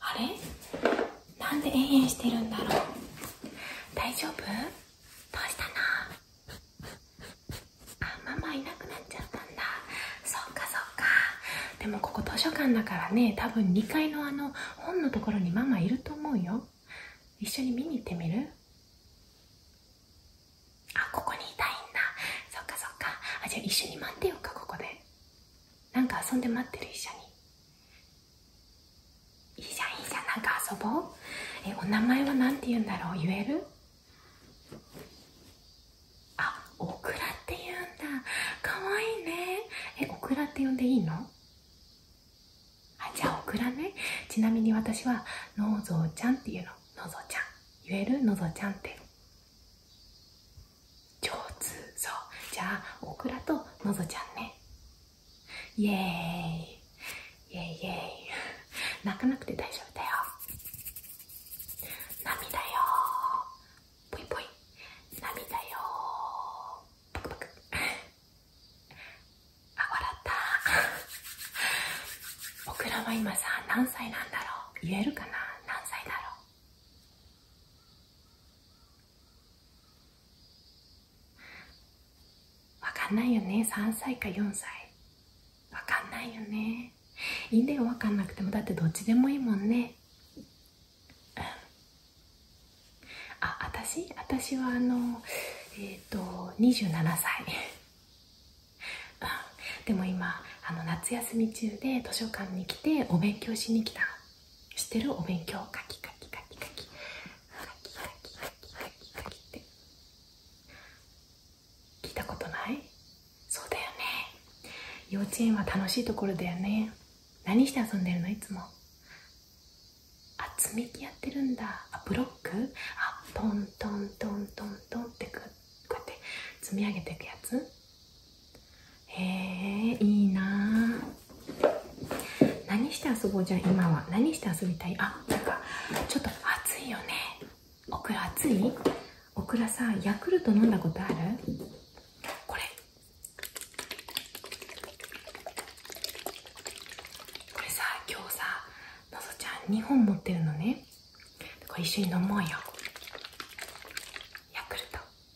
あれなんで延々してるんだろう大丈夫どうしたのあママいなくなっちゃったんだそっかそっかでもここ図書館だからね多分2階のあの本のところにママいると思うよ一緒に見に行ってみるあここにいたいんだそっかそっかあじゃあ一緒に待ってようかここでなんか遊んで待ってる一緒にいいじゃんいいじゃんなんか遊ぼうえお名前は何て言うんだろう言えるあオクラって言うんだかわいいねえオクラって呼んでいいのあじゃあオクラねちなみに私はのぞうちゃんっていうののぞちゃん言えるのぞちゃんって上手そうじゃあオクラとのぞちゃんねイエーイイエイイエイ泣かなくて大丈夫だよ涙よポイポイ涙よパクパクあ笑ったオクラは今さ何歳なんだろう言えるかな何歳だろうわかんないよね3歳か4歳わかんないよねいいんだよわかんなくてもだってどっちでもいいもんねあ私私はあのえっ、と27歳でも今あの夏休み中で図書館に来てお勉強しに来たしてるお勉強カキカキカキカキカキカキカキカキカキって聞いたことないそうだよね幼稚園は楽しいところだよね何して遊んでるのいつもあ積み木やってるんだあブロックあトントントントントンってこうやって積み上げていくやつへえいいな何して遊ぼうじゃん今は何して遊びたいあなんかちょっと暑いよねオクラ暑いオクラさヤクルト飲んだことあるこれこれさ今日さのぞちゃん2本持ってるのねこれ一緒に飲もうよヤクルト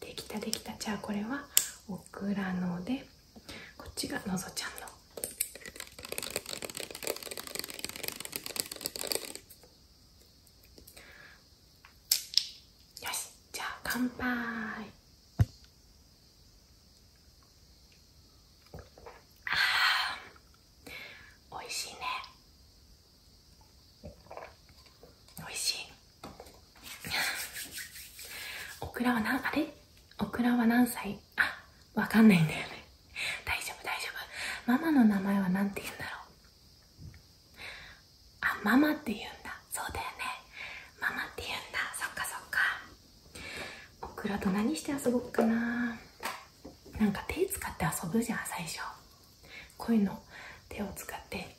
できたできたじゃあこれはオクラのでこっちがのぞちゃんのよしじゃあ乾杯おいしいねおいしい オクラはな、あれオクラは何歳あ、わかんないんだよね。大丈夫、大丈夫。ママの名前は何て言うんだろう。あ、ママって言うんだ。そうだよね。ママって言うんだ。そっかそっか。オクラと何して遊ぼっかな。なんか手使って遊ぶじゃん、最初。こういうの、手を使って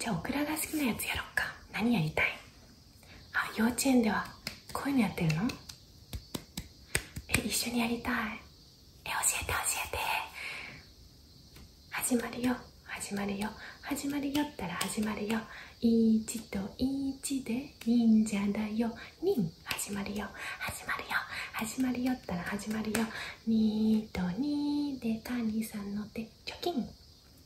じゃあオクラが好きなやつやろっか何やりたいあ幼稚園ではこういうのやってるのえ一緒にやりたいえ教えて教えて始まるよ始まるよ始まるよったら始まるよ1と1で忍者だよ忍始まるよ始まるよ始まるよったら始まるよ2と2で谷さんの手貯金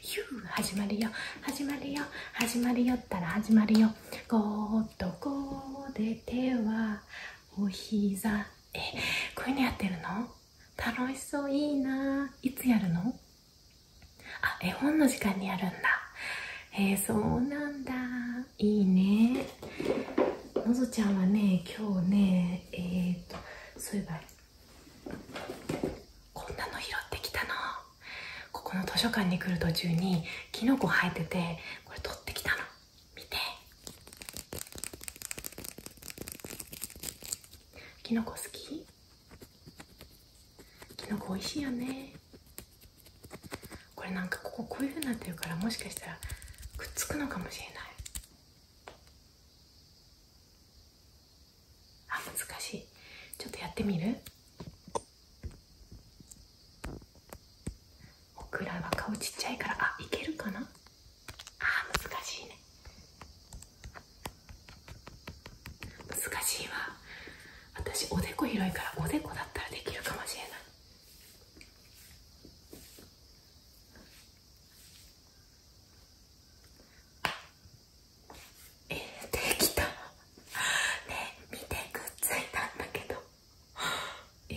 ヒュ始まるよ始まるよ始まるよったら始まるよゴーッとこで手はお膝えこういうのやってるの楽しそういいないつやるのあ絵本の時間にやるんだえそうなんだいいねのぞちゃんはね今日ねえっ、とそういえばこんなの拾ってきたのここの図書館に来る途中にキノコ生えててこれ取ってきたの見てキノコ好きキノコおいしいよねこれなんかこここういうふうになってるからもしかしたらくっつくのかもしれないあ難しいちょっとやってみるオクラは顔ちっちゃいからあいけるかなあ難しいね難しいわ私おでこ広いからおでこだったらできるかもしれないえできたねえ見てくっついたんだけどえ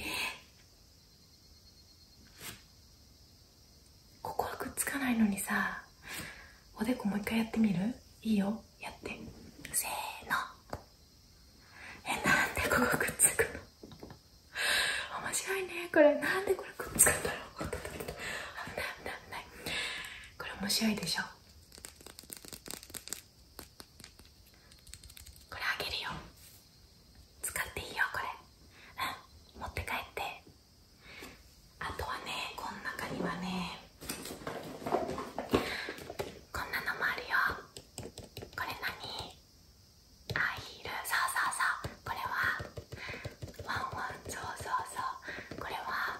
ここはくっつかないのにさおでこもう一回やってみるいいよやってせーのえなんでここくっつくの面白いねこれなんでこれくっつくんだろう危ない危ないこれ面白いでしょこれあげるよ使っていいよこれうん持って帰ってあとはねこの中にはねこんなのもあるよこれ何アヒルそうそうそうこれはワンワンそうそうそうこれは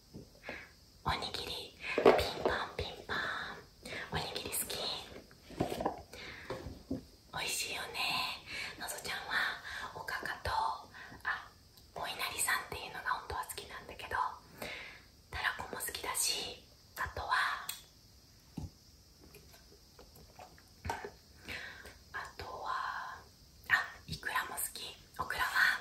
おにぎりピンポンピンポンおにぎり好きおいしいよねのぞちゃんはおかかとあお稲荷さんっていうのが本当は好きなんだけどたらこも好きだしあとはあとはあいくらも好きオクラは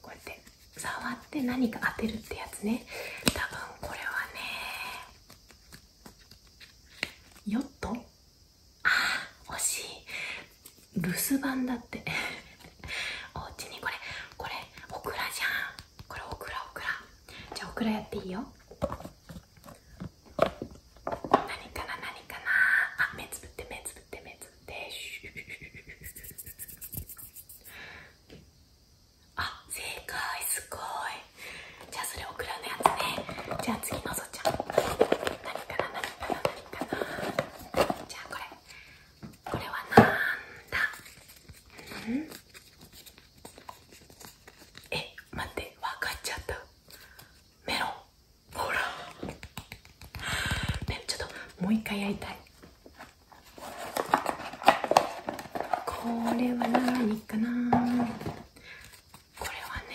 こうやって触って何か当てるってやつね多分これはねヨットああ惜しい留守番だって おうちにこれこれオクラじゃんこれオクラオクラじゃあオクラやっていいよ何かな何かなあ目つぶって目つぶって目ですあ正解すごいじゃあそれオクのやつねじゃあ次のぞちゃんじゃあこれこれはなんだえ待って分かっちゃったメロンほらねちょっともう一回やりたいこれは何かなこれはね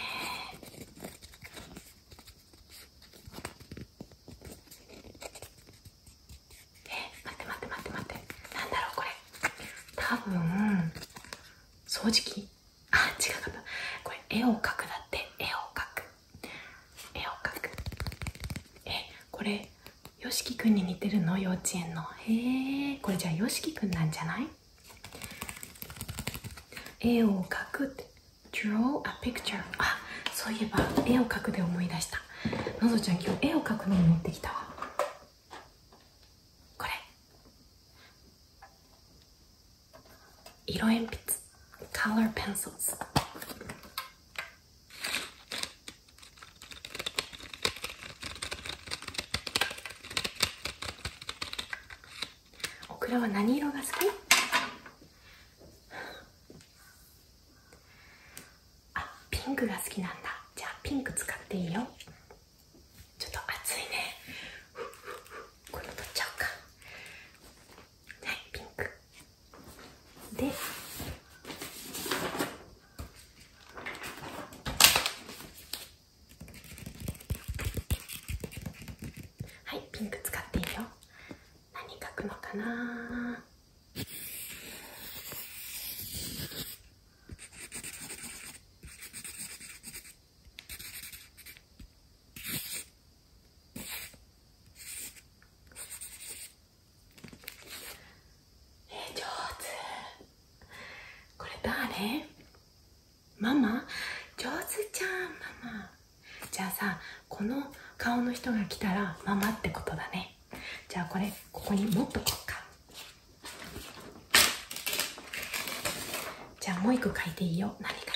え待って待って待って待ってなんだろうこれ多分掃除機あ違かったこれ絵を描くだって絵を描く絵を描くえこれよしきくんに似てるの幼稚園のへえこれじゃあよしきくんなんじゃない絵を描くって Draw a picture あそういえば絵を描くで思い出したのぞちゃん今日絵を描くのを持ってきたわこれ色鉛筆 Color pencils オクラは何色が好きあピンクが好きなんだじゃあピンク使っていいよちょっと暑いねこれ取っちゃおうかはいピンクではいピンク使っていいよ何書くのかなえ上手これ誰ママ上手じゃんママじゃあさこの顔の人が来たらママってことだねじゃあこれここにもっとこうかじゃあもう一個書いていいよ何書きたい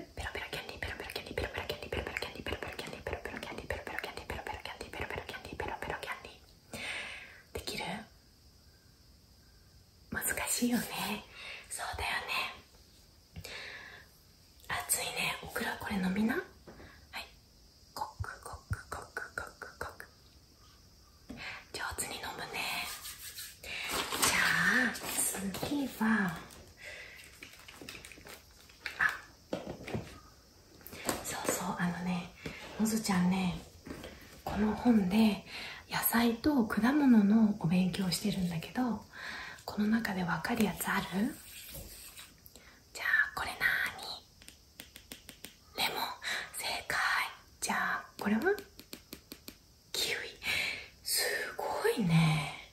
ペロペロキャンディーペロペロキャンディーペロペロキャンディーペロペロキャンディーペロペロキャンディーペロペロキャンディーできる難しいよねそうだよね熱いねおクラこれ飲みなはいコックコックコックコックコック上手に飲むねじゃあ次はそうそうあのねのずちゃんねこの本で野菜と果物のお勉強してるんだけどこの中でわかるやつあるじゃあこれなーにレモン正解じゃあこれはキウイすごいね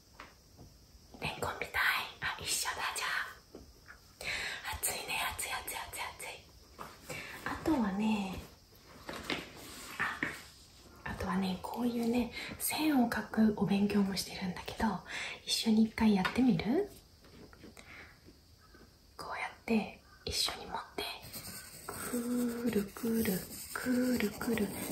レンコンみたいあ一緒だじゃあ暑いねついつい暑い暑いあとはねああとはねこういうね線を描くお勉強もしてるんだけど一緒に一回やってみるこうやって一緒に持ってくるくるくるくる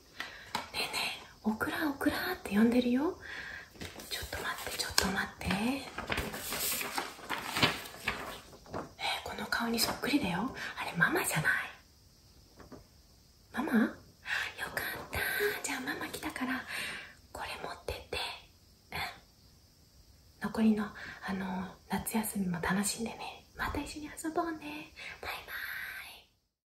ねえねえオクラオクラって呼んでるよちょっと待ってちょっと待ってえー、この顔にそっくりだよあれママじゃないママよかったじゃあママ来たからこれ持ってってうん残りのあの夏休みも楽しんでねまた一緒に遊ぼうねバイバーイ